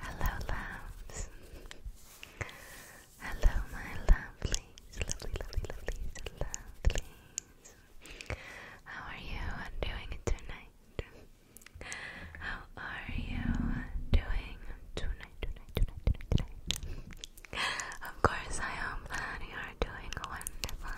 Hello, loves. Hello, my lovelies, lovely, lovely, lovelies, lovelies. How are you doing tonight? How are you doing tonight, tonight, tonight, tonight, tonight? Of course, I hope that you doing wonderful.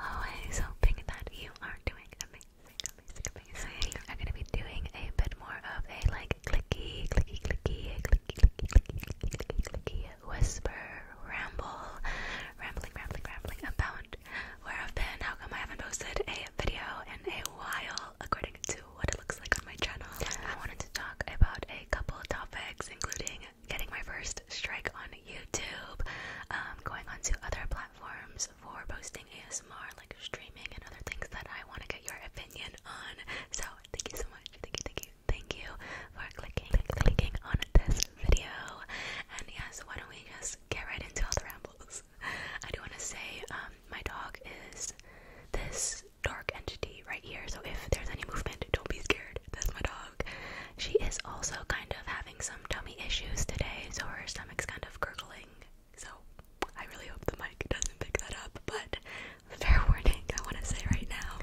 Always hoping that you you are doing amazing, amazing, amazing. I'm gonna be doing a bit more of a like clicky, clicky, clicky, clicky, clicky, clicky, clicky, clicky whisper, ramble, rambling, rambling, rambling about where I've been. How come I haven't posted a video in a while, according to what it looks like on my channel? I wanted to talk about a couple topics, including getting my first strike on YouTube, um, going on to other platforms for posting ASMR, like streaming and other things that I want to get your opinion on. So, thank you so much. Thank you, thank you, thank you for clicking, clicking on this video. And yes, why don't we just get right into all the rambles? I do want to say, um, my dog is this dark entity right here, so if there's any movement, don't be scared. That's my dog. She is also kind of having some tummy issues today, so her stomach's kind of gurgling. So I really hope the mic doesn't pick that up, but fair warning, I want to say right now.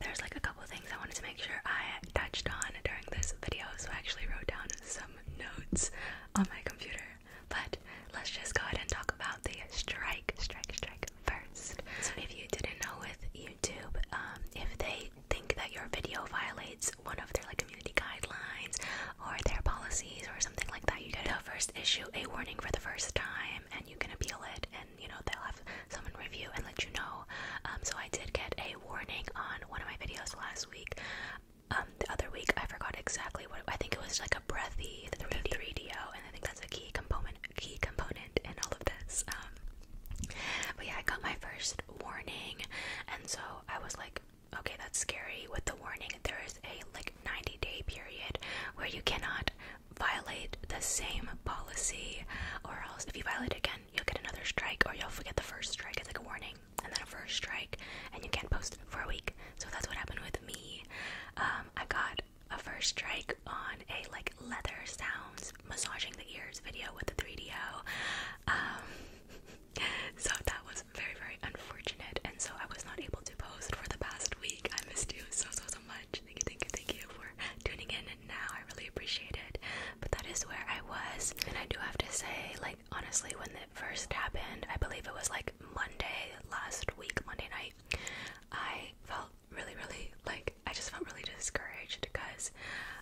There's like a couple things I wanted to make sure I touched on during this video, so I actually wrote down some notes on my computer. But let's just go ahead and talk about the strike, strike, strike first. So if you didn't know with YouTube, um, if they think that your video violates one of their like community guidelines or their policies or something like that, you get a first issue a warning for the first time and you can appeal it and you know they'll have someone review and let you know. Um, so I did get a warning on one of my videos last week. Um, the other week I forgot exactly what I think it was like a breathy the 3DO and I think that's a key component key component in all of this. Um, but yeah, I got my first warning, and so I was like, okay, that's scary. With the warning, there is a like 90 day period where you cannot violate the same policy, or else if you violate again, you'll get another strike, or you'll forget the first strike. It's like a warning, and then a first strike, and you can't post for a week. So that's what happened with me. Um, I got a first strike on a like leather sounds massaging the ears video with the 3DO. so that was very, very unfortunate. And so I was not able to post for the past week. I missed you so, so, so much. Thank you, thank you, thank you for tuning in and now. I really appreciate it. But that is where I was. And I do have to say, like, honestly, when it first happened, I believe it was like Monday last week, Monday night, I felt really, really like I just felt really discouraged because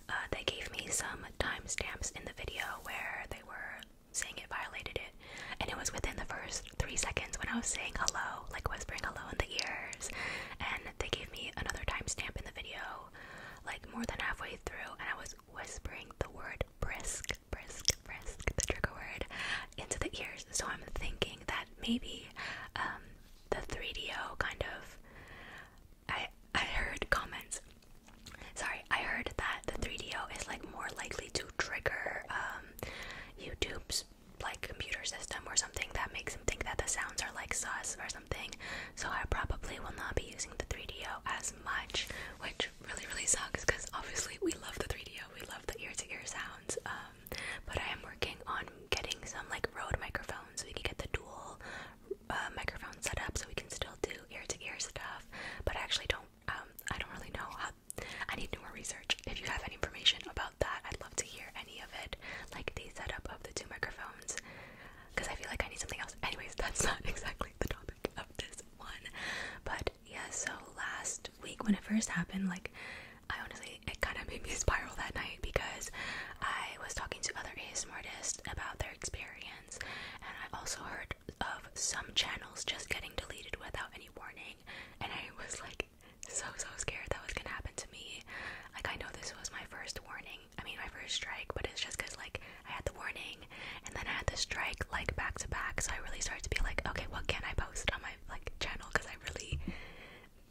uh, they gave me some timestamps in the video where they were saying it violated it, and it was within the first three seconds when I was saying hello, like whispering hello in the ears, and they gave me another timestamp in the video, like more than halfway through, and I was whispering the word brisk, brisk, brisk, the trigger word, into the ears. So I'm thinking that maybe um, the 3DO kind of I I heard comments. Sorry, I heard that the 3DO is like more likely to trigger um, YouTube's like computer system or something that makes them think that the sounds are like sus or something. So I probably will not be using the 3DO as much, which really really sucks because obviously we love the 3DO, we love the ear to ear sounds. Um, but I am working on getting some like Rode microphones so we can get the dual uh, microphone set up so we can still do ear to ear stuff. But I actually don't. Um, I don't really know I need more research. If you have any information about that, I'd love to hear any of it, like the setup of the two microphones, because I feel like I need something else. Anyways, that's not exactly the topic of this one. But yeah, so last week when it first happened, like I honestly, it kind of made me spiral that night because I was talking to other ASM artists about their experience and I also heard of some channels just getting deleted without any warning. And I was like so, so scared that was gonna happen to me. Like, I know this was my first warning, I mean, my first strike, but it's just because, like, I had the warning and then I had the strike, like, back to back. So I really started to be like, okay, what can I post on my, like, channel? Because I really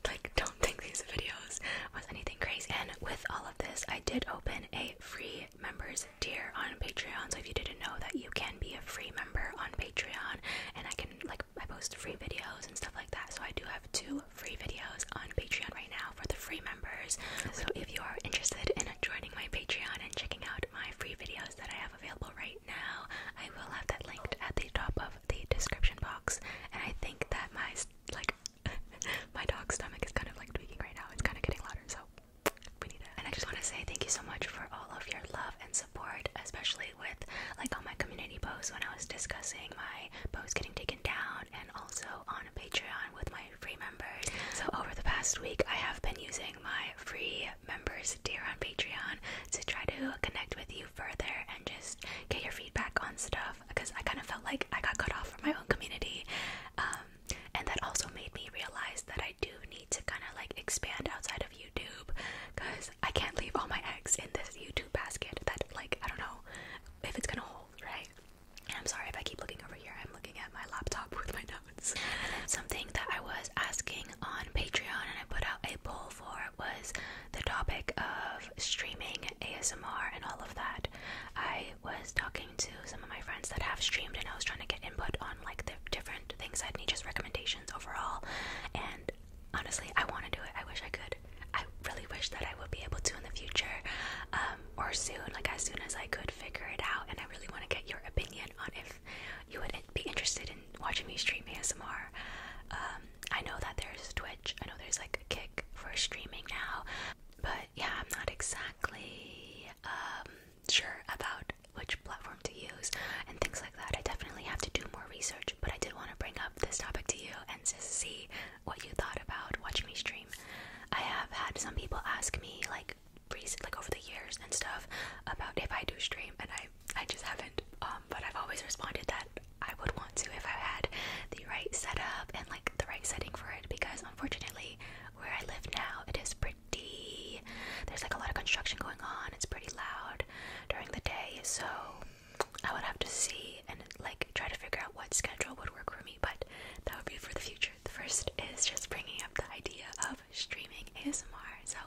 like don't think these videos was anything crazy and with all of this i did open a free members tier on Patreon. So if you didn't know that, you can be a free member on Patreon, and I can like I post free videos and stuff like that. So I do have two free videos on Patreon right now for the free members. So if you are interested in joining my Patreon and checking out my free videos that I have available right now, I will have that linked at the top of the description box. And I think that my like My dog's stomach is kind of like tweaking right now. It's kind of getting louder, so we need it. And I just want to say thank you so much for all of your love and support, especially with like all my community posts when I was discussing my posts getting taken down, and also on Patreon with my free members. So over the past week, I have been using my free members tier on Patreon to try to connect with you further and just get your feedback on stuff because I kind of felt like I got cut off from my own community. Um, and that also made me realize that I do need to kind of like expand outside of YouTube because I can't leave all my eggs in this YouTube basket that like I don't know if it's gonna hold right I'm sorry if I keep looking over here I'm looking at my laptop with my notes something that I was asking on Patreon and I put out a poll for was the topic of streaming ASMR and all of that I was talking to some of my friends that have streamed and I was trying to get input on like the different things I'd need, just recommendations overall. And honestly, I want to do it. I wish I could. I really wish that I would be able to in the future um, or soon, like as soon as I could figure it out. And I really want to get your opinion on if you would be interested in watching me stream ASMR. Um, I know that there's Twitch, I know there's like a kick for streaming now, but yeah, I'm not exact. Um, sure about which platform to use and things like that. I definitely have to do more research, but I did want to bring up this topic to you and see what you thought about watching me stream. I have had some people ask me like recent, like over the years and stuff about if I do stream, and I I just haven't. Um, but I've always responded that I would want to if I had the right setup and like the right setting for it because unfortunately where I live now. It is pretty, there's like a lot of construction going on. It's pretty loud during the day. So I would have to see and like try to figure out what schedule would work for me. But that would be for the future. The first is just bringing up the idea of streaming ASMR. So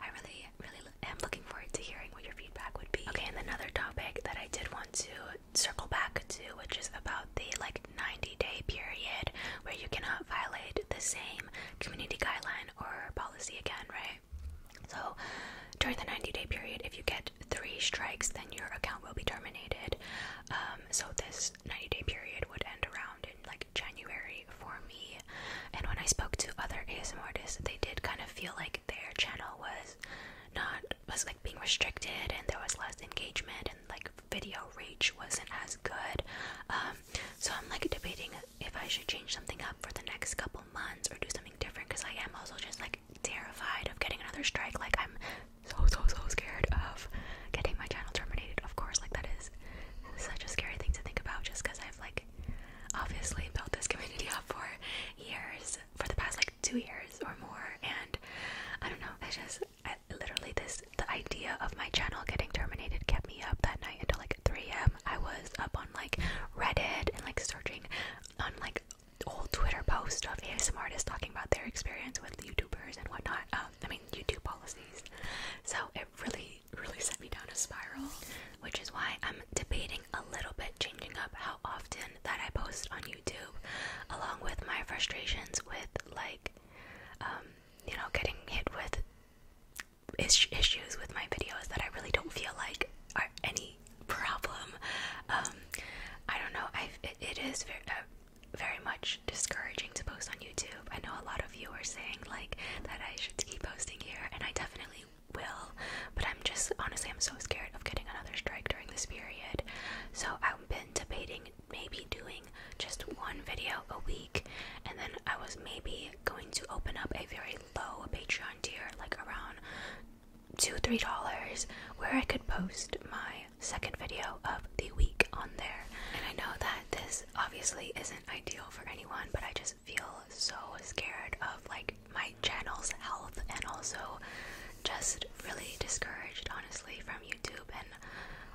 I really, really am looking forward to hearing what your feedback would be. Okay, and another topic that I did want to circle back to, which is about the like 90 day period where you cannot violate the same community guideline or policy again, right? So during the 90 day period, if you get three strikes, then your account will be terminated. Um, so this 90 day period would end around in like January for me. And when I spoke to other ASMR artists, they did kind of feel like their channel was not was like being restricted and there was less engagement and like video reach wasn't as good. Um, so I'm like debating if I should change something up for the next couple months or do something different because I am also just like terrified of getting another strike. Like I'm so so so scared of getting my channel terminated. Of course, like that is such a scary thing to think about just because I've like obviously built this community up for years for the past like two years or more and I don't know, it's just literally this the idea of my channel getting terminated kept me up that night until like 3 a.m. I was up on like Reddit and like searching on like old Twitter posts of ASM artists talking about their experience with YouTubers and whatnot. Um, I mean YouTube policies. So it really, really sent me down a spiral, which is why I'm debating a little bit changing up how often that I post on YouTube, along with my frustrations with like um, you know, getting hit with issues with my videos that I really don't feel like are any problem. Um, I don't know. I it is very, uh, very much discouraging to post on YouTube. I know a lot of you are saying like that I should keep posting here, and I definitely will. But I'm just honestly, I'm so scared of getting another strike during this period. So I've been debating maybe doing just one video a week, and then I was maybe going to open up a very low Patreon tier, like around two, three dollars, where I could post my second video of the week on there. And I know that this obviously isn't ideal for anyone, but I just feel so scared of like my channel's health and also just really discouraged, honestly, from YouTube and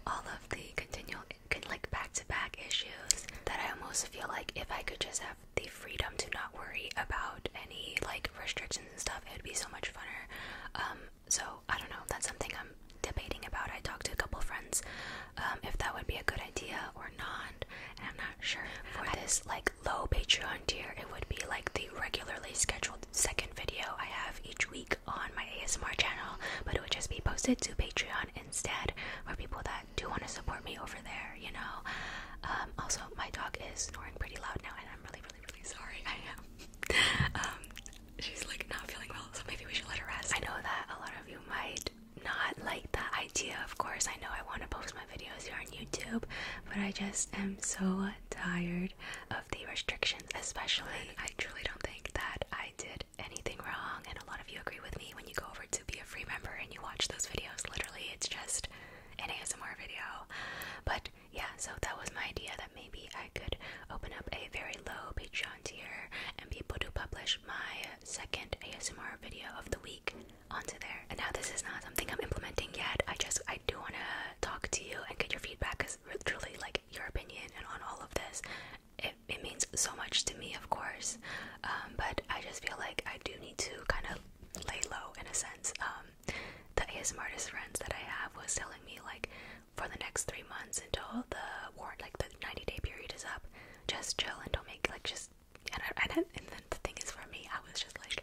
all of the continual, like back-to-back issues. That I almost feel like if I could just have the freedom to not worry about any like restrictions and stuff, it would be so much funner. Um, so I don't know. That's something I'm debating about. I talked to a couple friends um, if that would be a good idea or not, and I'm not sure. For this like low Patreon tier, it would be like the regularly scheduled second video I have each week on my ASMR channel, but it would just be posted to Patreon instead for people that do want to support me over there, you know. Um, also, my dog is snoring pretty loud now, and I'm really, really, really sorry. I am. um, she's like not feeling well, so maybe we should let her rest. I know that a lot of you might not like the idea, of course. I know I want to post my videos here on YouTube, but I just am so tired the restrictions, especially. I truly don't think that I did anything wrong, and a lot of you agree with me when you go over to be a free member and you watch those videos. Literally, it's just an ASMR video. But yeah, so that was my idea that maybe I could open up a very low Patreon tier and be able to publish my second ASMR video of the week onto there. And now this is not something I'm implementing yet. I just I do wanna talk to you and get your feedback because truly like your opinion and on all of this. It, it means so much to me, of course, um, but I just feel like I do need to kind of lay low in a sense. Um, the smartest friends that I have was telling me like for the next three months until the warrant, like the 90 day period is up, just chill and don't make like just. And, I, and then the thing is, for me, I was just like,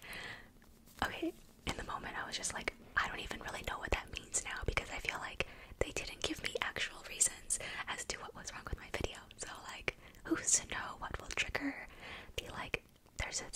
okay, in the moment, I was just like, I don't even really know what that means now because I feel like they didn't give me actual reasons as to what was wrong with my video. So like, who's to know what will trigger the like? There's a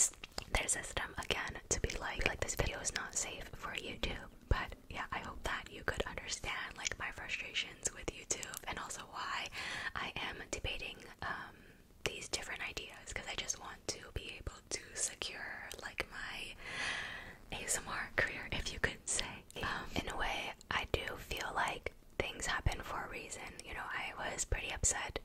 their system again to be like, like this video is not safe for YouTube. But yeah, I hope that you could understand like my frustrations with YouTube and also why I am debating um, these different ideas because I just want to be able to secure like my ASMR career, if you could say. Um, in a way, I do feel like things happen for a reason. You know, I was pretty upset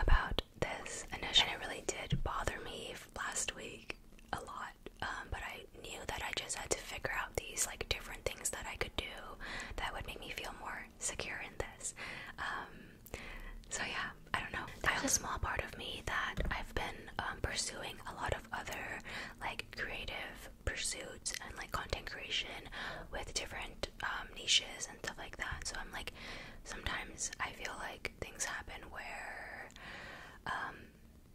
about this initially, and it really did bother me last week a lot. Um, but I knew that I just had to figure out these like different things that I could do that would make me feel more secure in this. Um, so yeah, I don't know. There's a small part of me that I've been um, pursuing a lot of other like creative pursuits and like content creation with different um, niches and stuff like that. So I'm like, sometimes I feel like things happen where um,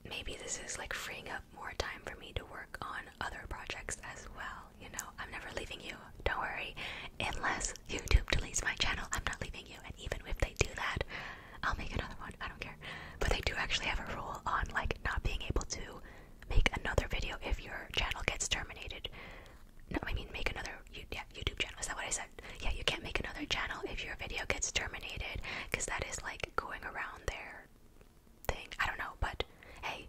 maybe this is like freeing up more time for me to work on other projects as well. You know, I'm never leaving you. Don't worry. Unless YouTube deletes my channel, I'm not leaving you. And even if they do that, I'll make another one. I don't care. But they do actually have a rule on like not being able to make another video if your channel gets terminated. No, I mean make another YouTube channel. Is that what I said? Yeah, you can't make another channel if your video gets terminated because that is like going around there thing. I don't know, but hey,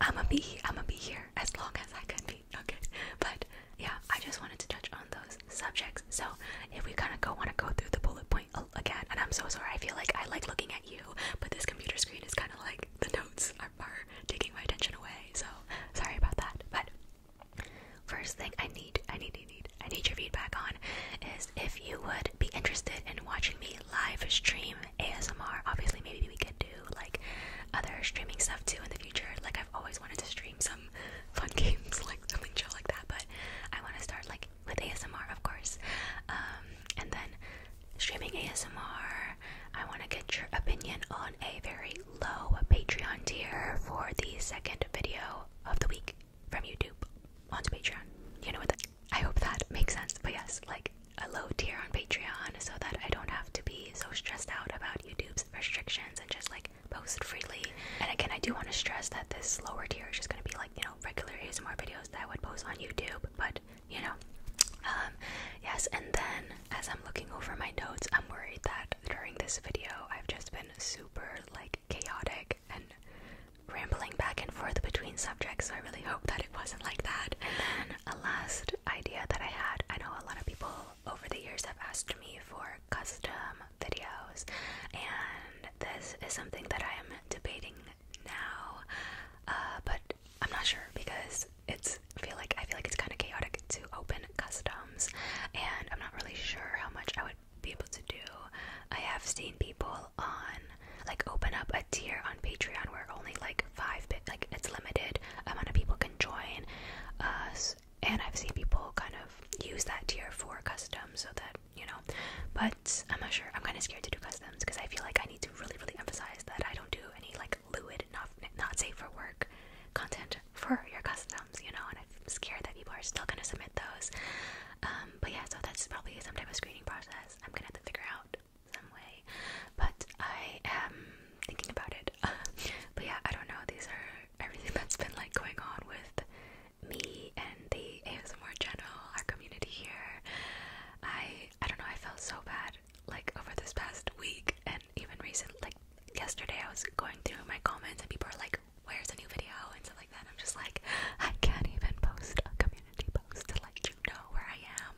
i am a to be i am going be here as long as I can be. Okay, but yeah, I just wanted to touch on those subjects. So if we kind of go want to go through the bullet point again, and I'm so sorry, I feel like I like looking at you, but this computer screen is kind of like the notes are, taking my attention away. So sorry about that. But first thing I need, I need, I need, I need your feedback on is if you would be interested in watching me live stream ASMR. Obviously, maybe we could do like other streaming stuff too in the future. Like I've always wanted to stream some fun games like something like that. But I want to start like with ASMR, of course, um, and then streaming ASMR. I want to get your opinion on a very low Patreon tier for the second video of the week from YouTube onto Patreon. You know what? I hope that makes sense. But yes, like a low tier on Patreon so that I don't have to be so stressed out about YouTube's restrictions and just like post freely. And again, I do want to stress that this lower tier is just going to be like, you know, regular ASMR videos that I would post on YouTube, but you know, um, yes. And then as I'm looking over my notes, I'm worried that during this video, I've just been super like chaotic and rambling back and forth between subjects. So I really hope that it wasn't like that. And then a last idea that I had, I know a lot of people over the years have asked me for custom videos, and this is something that I am debating now, uh, but I'm not sure because it's feel like I feel like it's kind of chaotic to open customs, and I'm not really sure how much I would be able to do. I have seen people on like open up a tier on Patreon where only like five bit like it's limited amount of people can join. Uh, and I've seen people kind of use that tier for customs so that you know. But I'm not sure. I'm kind of scared to do customs because I feel like I need to really, really emphasize that I don't do any like lewd, not not safe for work content for your customs, you know. And I'm scared that people are still gonna submit those. Um, but yeah, so that's probably some type of screening process. I'm gonna have to figure out some way. But I am thinking about it. but yeah, I don't know. These are everything that's been like going on with me and the ASMR general our community here. I I don't know, I felt so bad like over this past week and even recent like yesterday I was going through my comments and people are like, Where's a new video? and stuff like that. I'm just like, I can't even post a community post to let you know where I am.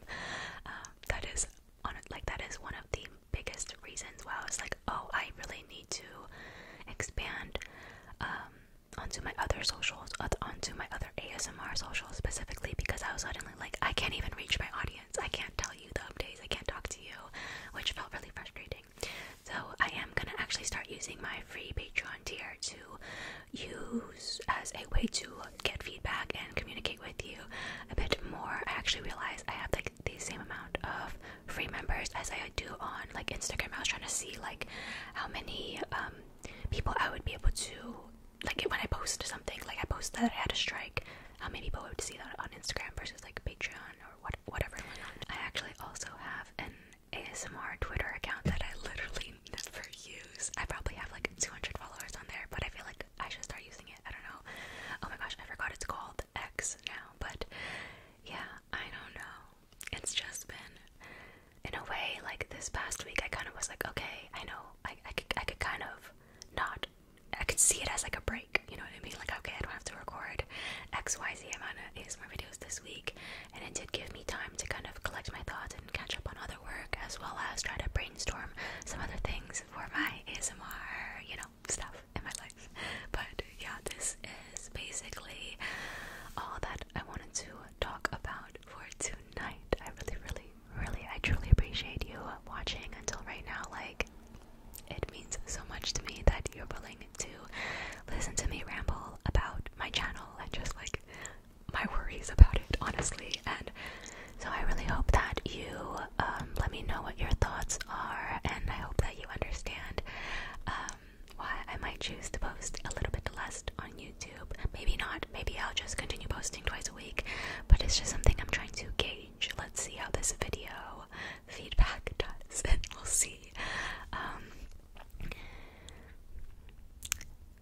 Um, that is on like that is one of the biggest reasons why I was like, Oh, I really need to expand um, onto my other socials, uh, onto my other ASMR socials specifically because I was suddenly like, I can't even reach my audience. I can't tell you the updates. I can't talk to you, which felt really frustrating. So I am gonna actually start using my free Patreon tier to use as a way to get feedback and communicate with you a bit more. I actually realized I have like the same amount of free members as I do on like Instagram. I was trying to see like how many um, people I would be able to like when I post something, like I posted that I had a strike, how many people would see that on Instagram versus like Patreon or what whatever. I actually also have an ASMR Twitter account that I literally never use. I probably have like 200 followers on there, but I feel like I should start using it. I don't know. Oh my gosh, I forgot it's called. X now, but yeah, I don't know. It's just been, in a way, like this past week, I kind of was like, okay, I know, I, could, I could kind of not, I could see it as like a break, you know what I mean? Like, okay, I don't have to record XYZ amount of ASMR videos this week, and it did give me time to kind of collect my thoughts and catch up on other work as well as try to brainstorm some other things for my ASMR, you know, stuff in my life. But yeah, this is basically all that I wanted to talk about for tonight. I really, really, really, I truly appreciate you watching until right now. Like, it means so much to me that you're willing to listen to me ramble about my channel and just like my worries about it, honestly. And so I really hope that you um, let me know what your thoughts are, and I hope that you understand um, why I might choose to post a little bit less on YouTube. Maybe not. Maybe I'll just continue posting twice a week. But it's just something I'm trying to gauge. Let's see how this video feedback does, we'll see. Um,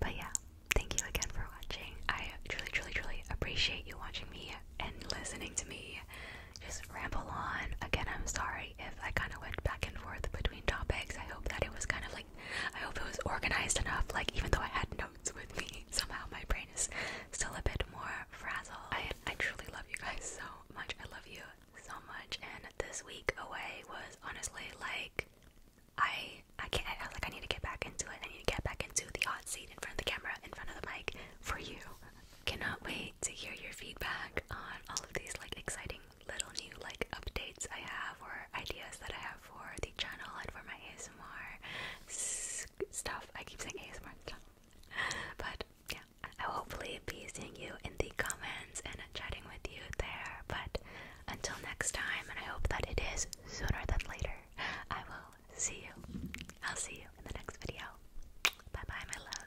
but yeah, thank you again for watching. I truly, truly, truly appreciate you watching me and listening to me just ramble on. Again, I'm sorry if I kind of went back and forth between topics. I hope that it was kind of like, I hope it was organized enough. Like, even though I had notes with me, somehow my brain is still a bit more frazzled. I, I truly love you guys so much. I love you so much. And this week away was honestly like, I I can't I, like I need to get back into it. I need to get back into the hot seat in front of the camera, in front of the mic for you. Cannot wait to hear your feedback on all of these like exciting little new like updates I have or ideas that I have for the channel and for my ASMR stuff. I keep saying ASMR But yeah, I'll hopefully be seeing you in the comments and chatting with you there. But until next time, and I hope that it is sooner than later, I will see you. I'll see you in the next video. Bye bye, my loves.